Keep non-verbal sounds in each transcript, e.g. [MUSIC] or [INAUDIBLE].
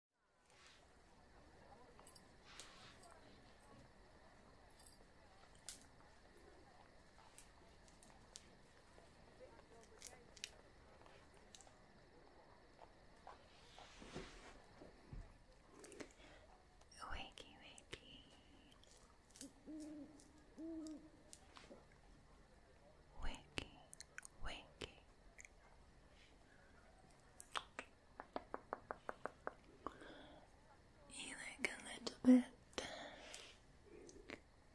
Wakey, wakey. Wakey, winking. You look a little bit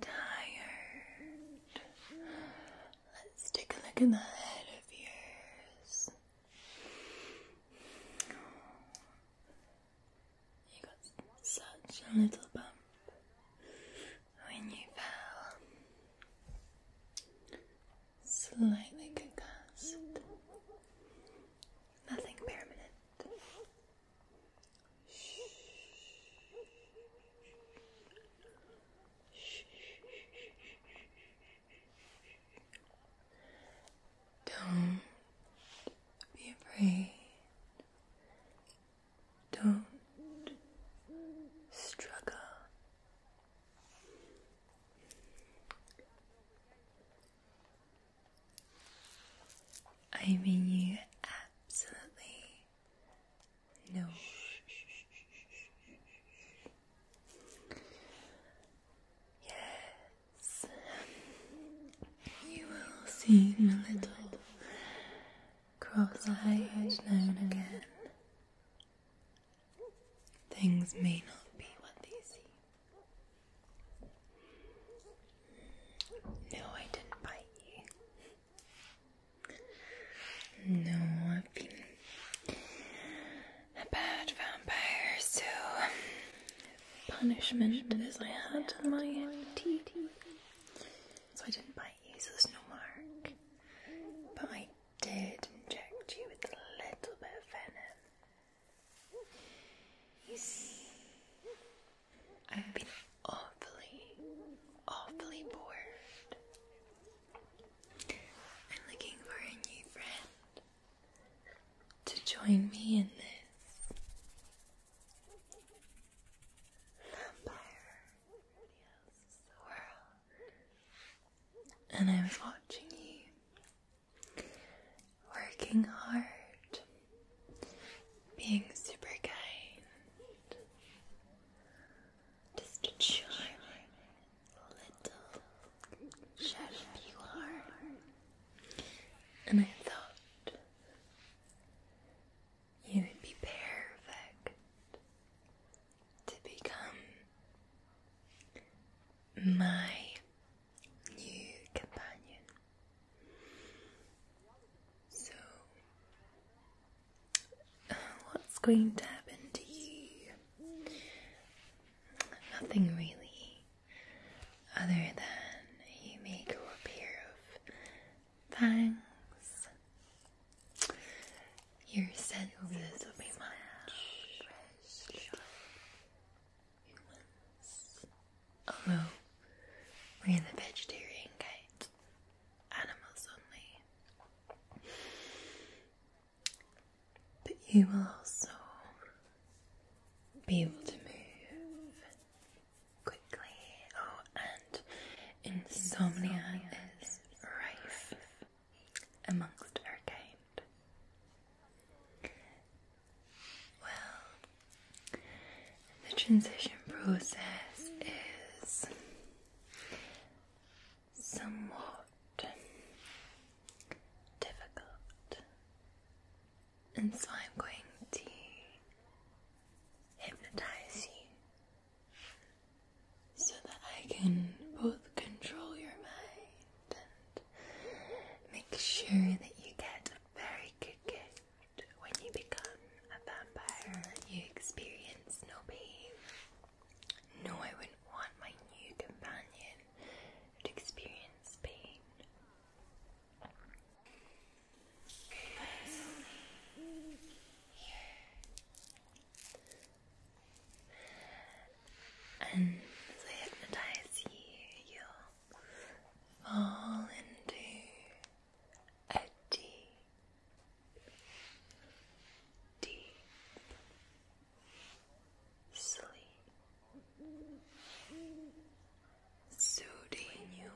tired. Let's take a look in the head of yours. You got such a little bump when you fell slightly concussed. Nothing permanent. Shh. Shh. Don't be afraid. Don't struggle I mean, you absolutely know. Yes, you will see the little cross-eyed now again. Things may not be what they seem. No, I didn't bite you. No, I've been a bad vampire, so punishment is I had in my teeth. So I didn't bite you, so there's no mark. But I did inject you with a little bit of venom. I've been awfully, awfully bored. I'm looking for a new friend to join me in this vampire world and I was watching you working hard, being super kind, just a charming little shadow you and I thought you would be perfect to become my new companion. So, uh, what's going to happen to you? Nothing really, other than you may grow a pair of fangs. Your senses will be much fresh oh, we're the vegetarian kind. Animals only. But you will also be able to move quickly. Oh, and insomnia, is rife amongst her kind. Well, the transition process is somewhat difficult, and so I'm going to hypnotize you so that I can both control your mind and make sure that you get a very good gift when you become a vampire. You experience no pain. No, I wouldn't want my new companion to experience pain and as I hypnotize you, you'll fall into a deep, deep sleep, soothing you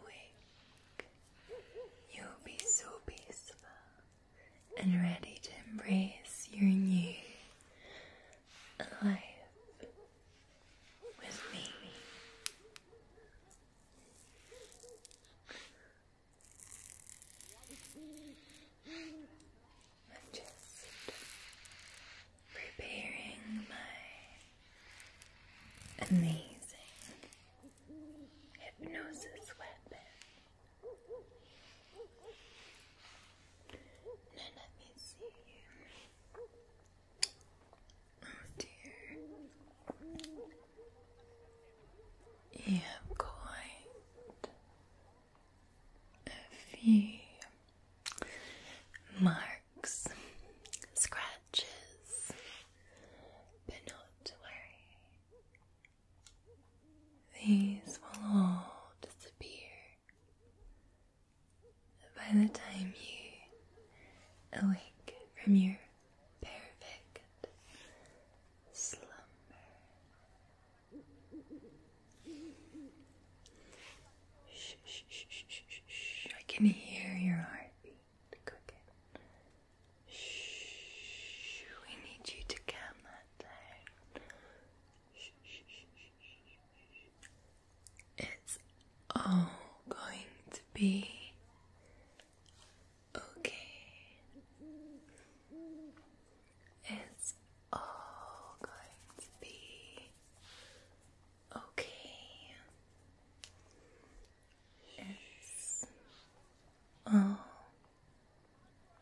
You'll be so peaceful and ready to embrace your new life with me. just preparing my amazing hypnosis weapon now let me see you. Oh dear. You have quite a few marks, scratches, but not to worry. These will all disappear by the time you awake from your perfect slumber. Shh, shh, shh, shh, shh, shh. I can hear your heartbeat cooking. Shh, we need you to calm that down. Shh, shh, shh, shh. It's all going to be okay. It's all going to be okay. It's all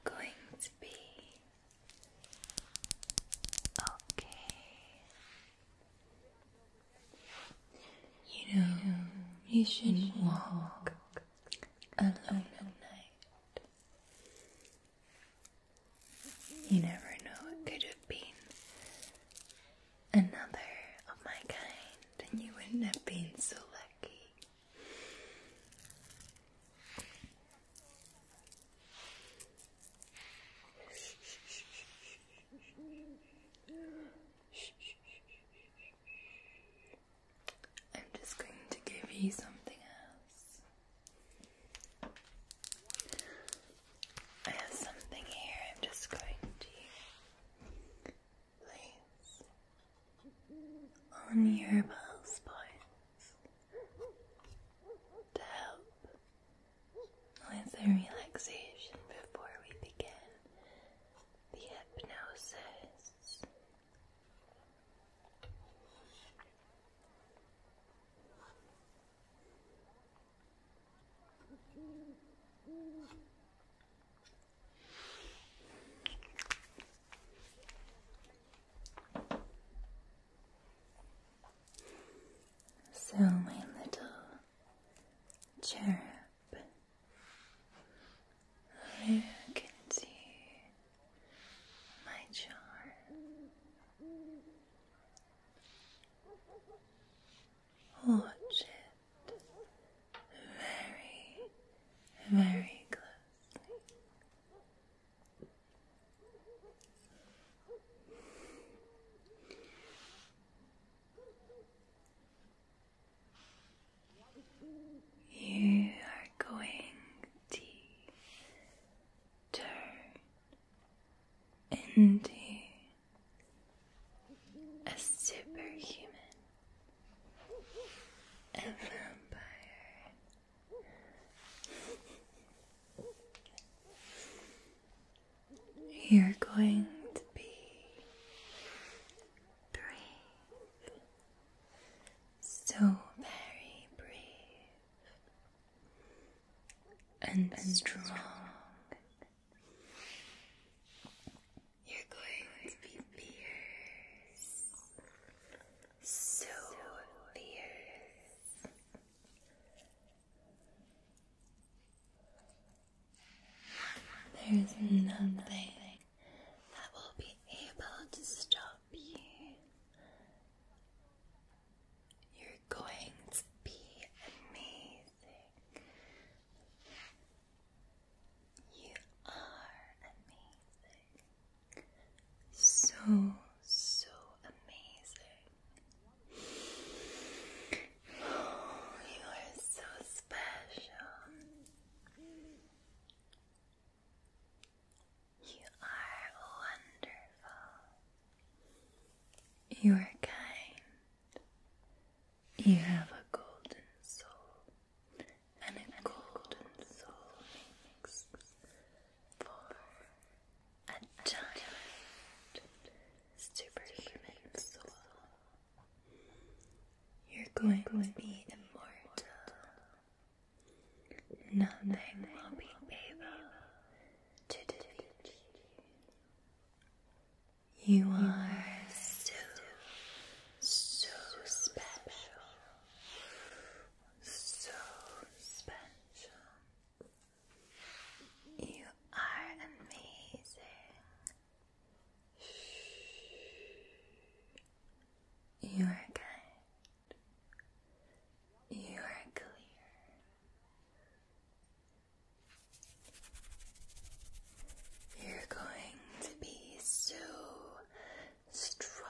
going to be okay. You know, you shouldn't walk alone at night. You never know, it could have been another of my kind, and you wouldn't have been so lucky. I'm just going to give you something else. I have something here, I'm just going to place on your pulse points to help with the relaxation before we begin the hypnosis. So, my little cherub, look into my jar. Watch it very, very closely. You are going to turn into a superhuman, a vampire. You're going to be brave, so very brave and, strong. strong. You're going to be fierce, so fierce there is nothing that will be able to stop you. You're going to be amazing. You are amazing. So, so amazing. [SIGHS] you are so special. You are wonderful. You are kind. You have a golden soul. And a golden soul makes for a giant superhuman soul. You're going to be immortal. Nothing will be able to defeat you. You are so, so special. So special. You are amazing. You are kind. You are clear. You're going to be so strong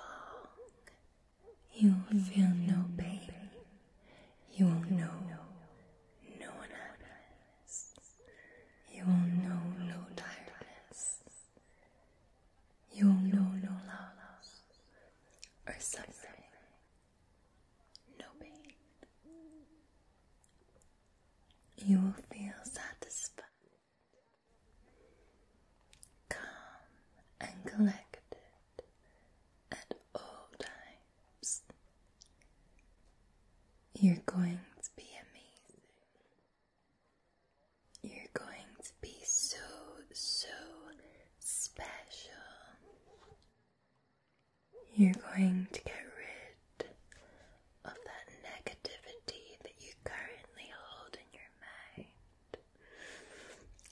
you will feel no pain. You will know no unhappiness. You will know no tiredness. You will know no loss or suffering. No pain. You will feel satisfied, calm and collected at all times. You're going to be amazing. You're going to be so, so special. You're going to get rid of that negativity that you currently hold in your mind.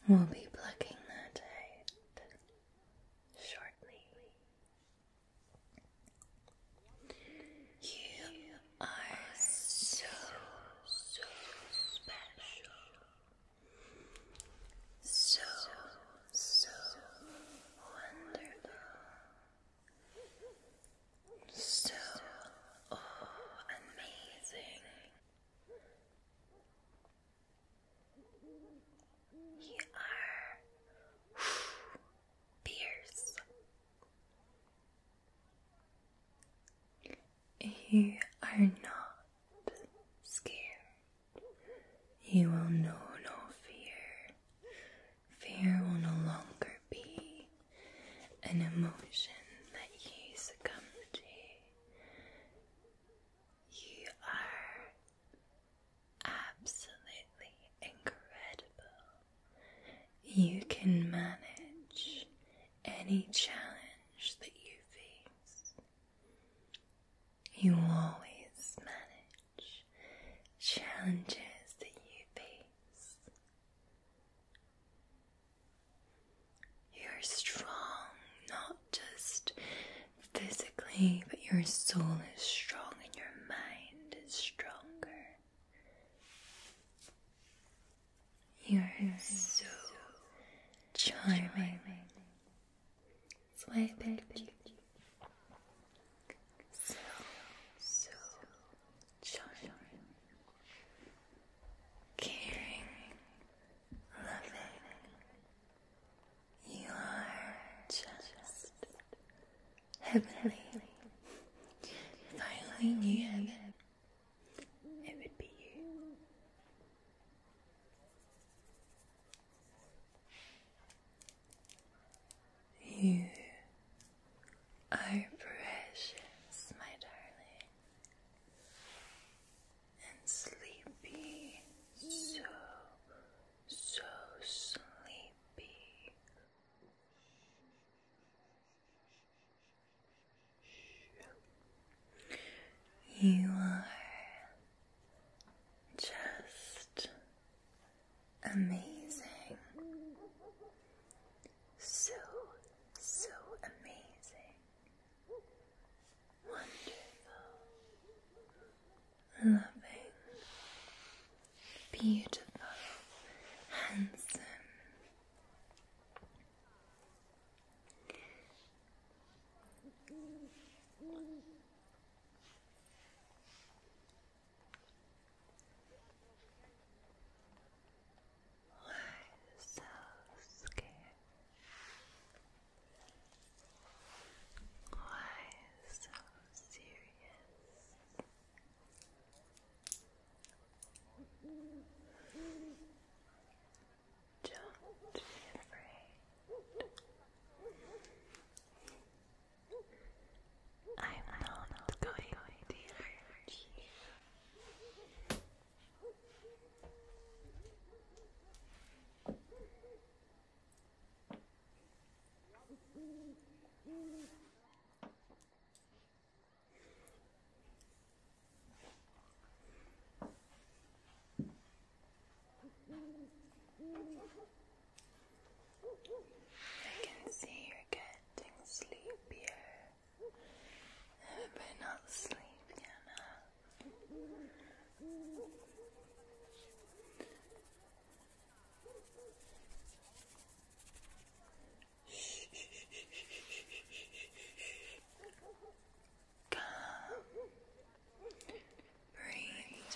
We'll be plucking that out shortly. You are so, so special. So, so wonderful. So amazing. You are [SIGHS] fierce. You are not scared. You will know no fear. Fear will no longer be an emotion that you succumb to. You are absolutely incredible. You can manage any challenge that you face. You always manage challenges that you face. You're strong, not just physically, but your soul is strong and your mind is stronger. You're so charming. charming. baby, why So, so charming. Caring. Loving. You are just heavenly. If I only it would be you. You are precious, my darling and sleepy, so, so sleepy. You are just amazing. So, so amazing wonderful, loving, beautiful, handsome. we so scared. Why so serious? Don't be afraid. I'm not going to hurt you. I can see you're getting sleepier, but not sleepy enough. Come. Breathe,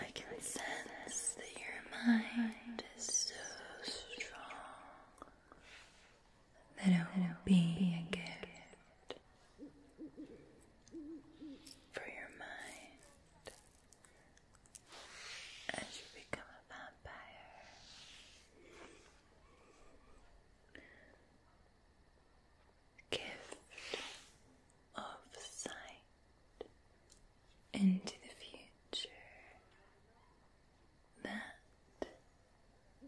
I can sense that your mind is so strong that it will be a gift for your mind as you become a vampire. Gift of sight into the future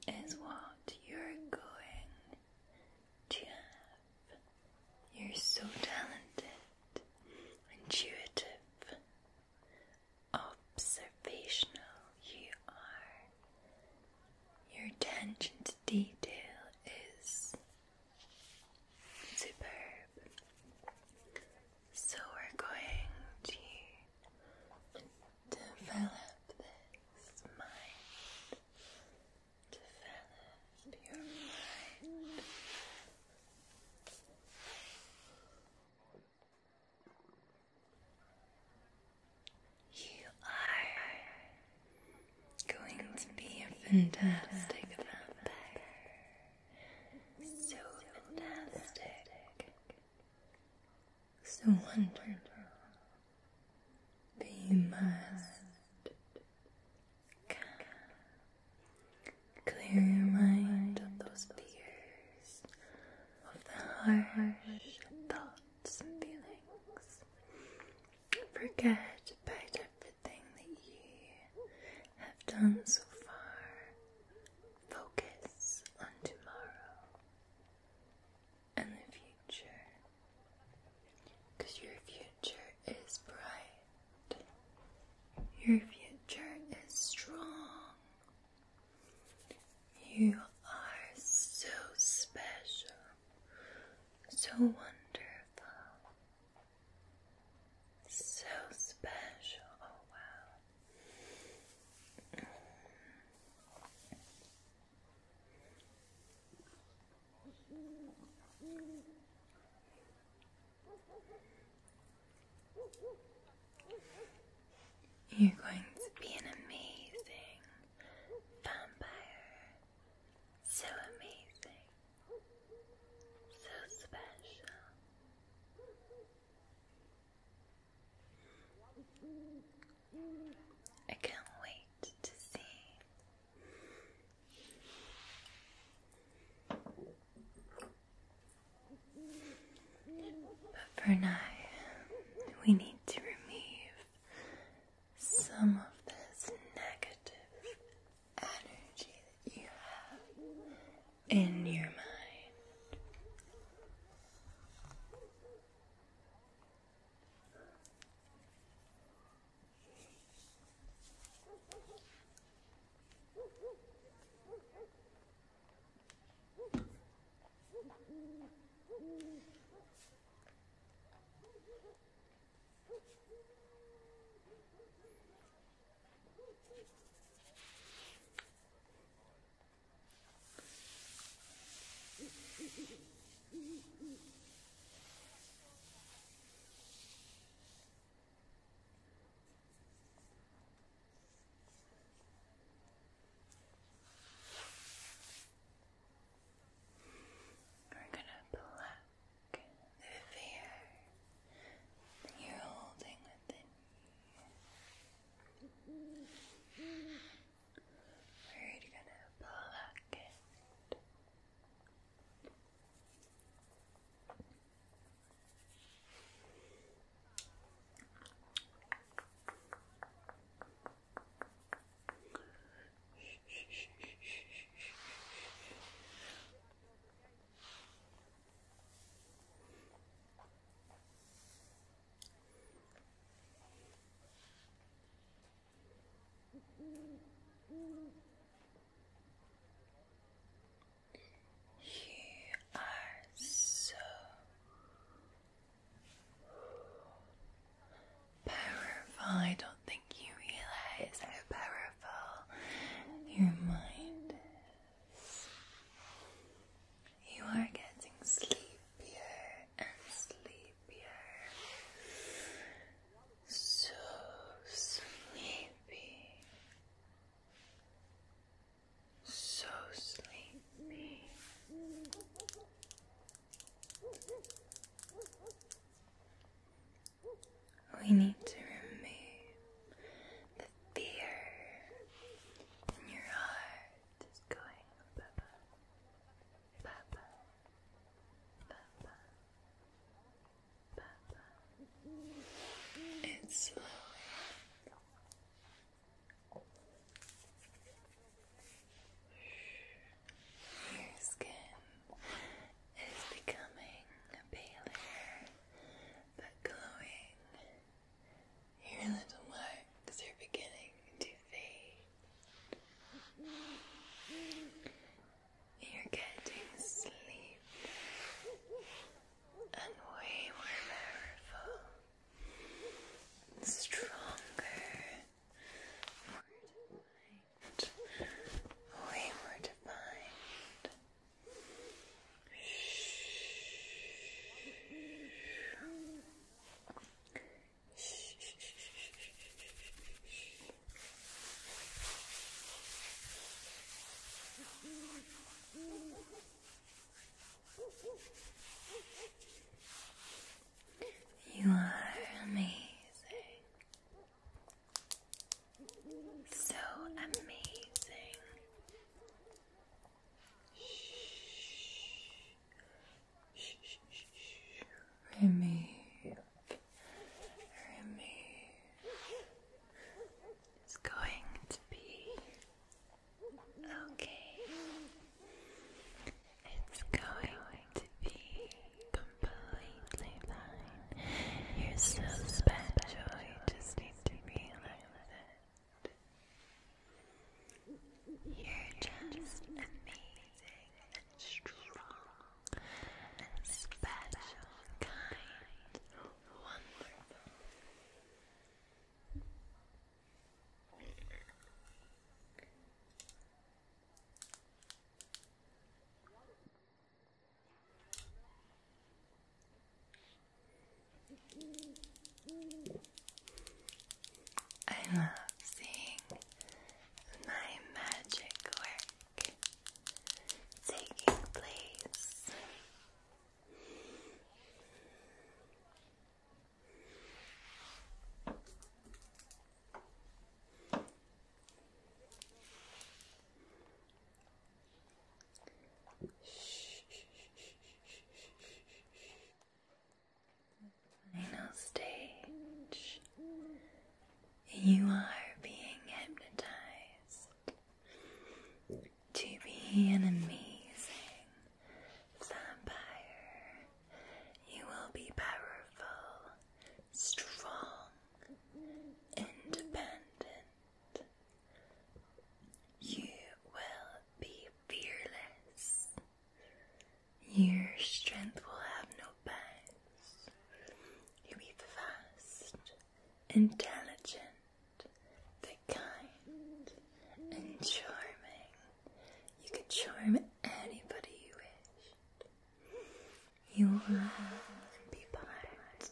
that is what you're going to have. You're so talented, intuitive, observational you are. Your attention to detail is superb. So we're going to Develop this mind. Develop your mind. You are going to be a fantastic vampire. So fantastic so wonderful. Be must Clear your mind of those fears, of the harsh thoughts and feelings. Forget about everything that you have done so far Focus on tomorrow and the future your future is bright, your future is strong. You are so special, so wonderful, so special. Oh, wow. You're going to be an amazing vampire. So amazing. So special. I can't wait to see. But for now, we need to remove some of this negative energy that you have in your mind. We're going to pluck the fear you're holding within we're gonna pluck it. Pluck, pluck, pluck, pluck, pluck, pluck, pluck, you are so powerful. I don't think you realize how powerful your mind is. You are getting sleepier and sleepier. So sleepy. So sleepy. We need to remove the fear in your heart. Just going Baba Baba Baba Baba and your skin is becoming paler but glowing your little marks are beginning to fade. You're getting sleep and we were powerful, stronger, more defined, way more defined. You are amazing. So amazing. Remove, remove. It's going to be okay. It's going to be completely fine. You're so special. You just need to be like that. You're just amazing and strong and special, kind, wonderful. you I love seeing my magic work taking place final stage. You are being hypnotized to be an amazing vampire. You will be powerful, strong, independent. You will be fearless. Your strength will have no bounds. You'll be fast, intelligent, kind, and charming. You can charm anybody you wish. You will be part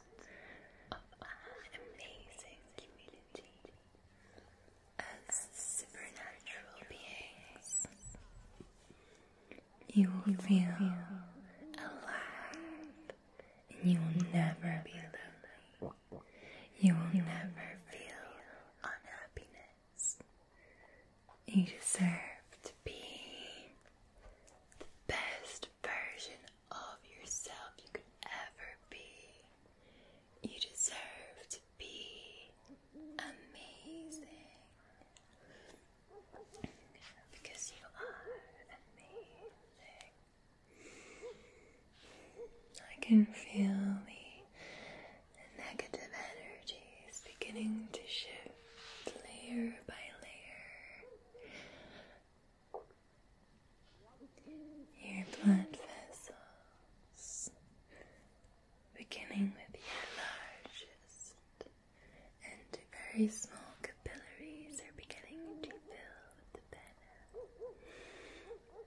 of an amazing community as supernatural beings. You will feel alive and you will never be lonely. You will never feel unhappiness. You deserve to be the best version of yourself you could ever be. You deserve to be amazing because you are amazing. I can feel the negative energies beginning to shift layer by layer. Your blood vessels beginning with your largest and very small capillaries are beginning to fill with the venom.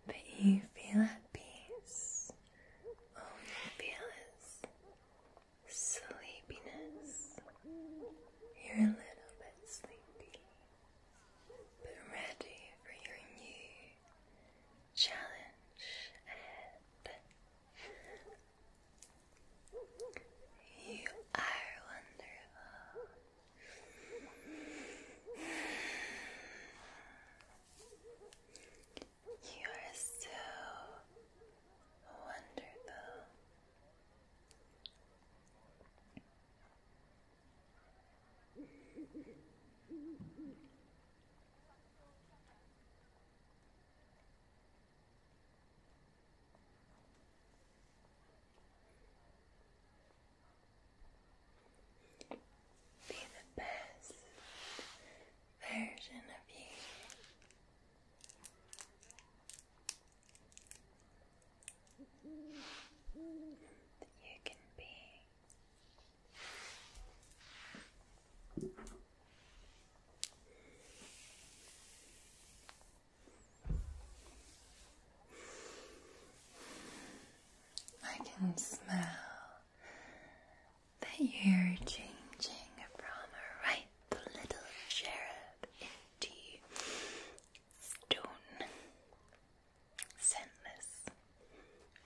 But you feel at peace. All oh, you feel is sleepiness. You're a little bit sleepy, but ready for your new challenge ahead. You are wonderful. You are so wonderful. Be the best version of you. That you can be. I can smell that you're changing from a ripe little cherub into stone scentless.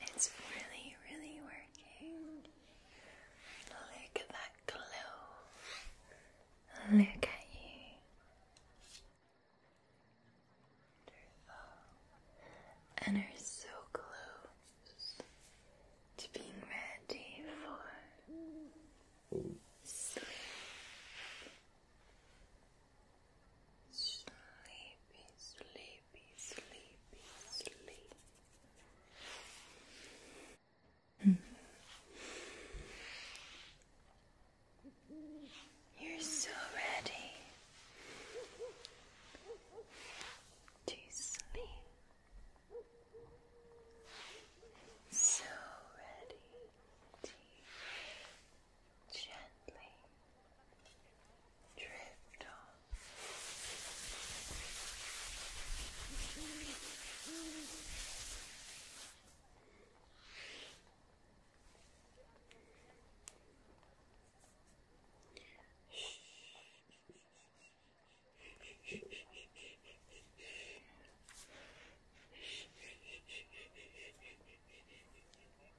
It's really, really working. Look at that glow. Look at you. Wonderful. And are so close to being ready for sleep. Sleepy, sleepy sleepy, sleepy, You're so ready to sleep. So ready to gently Drift on.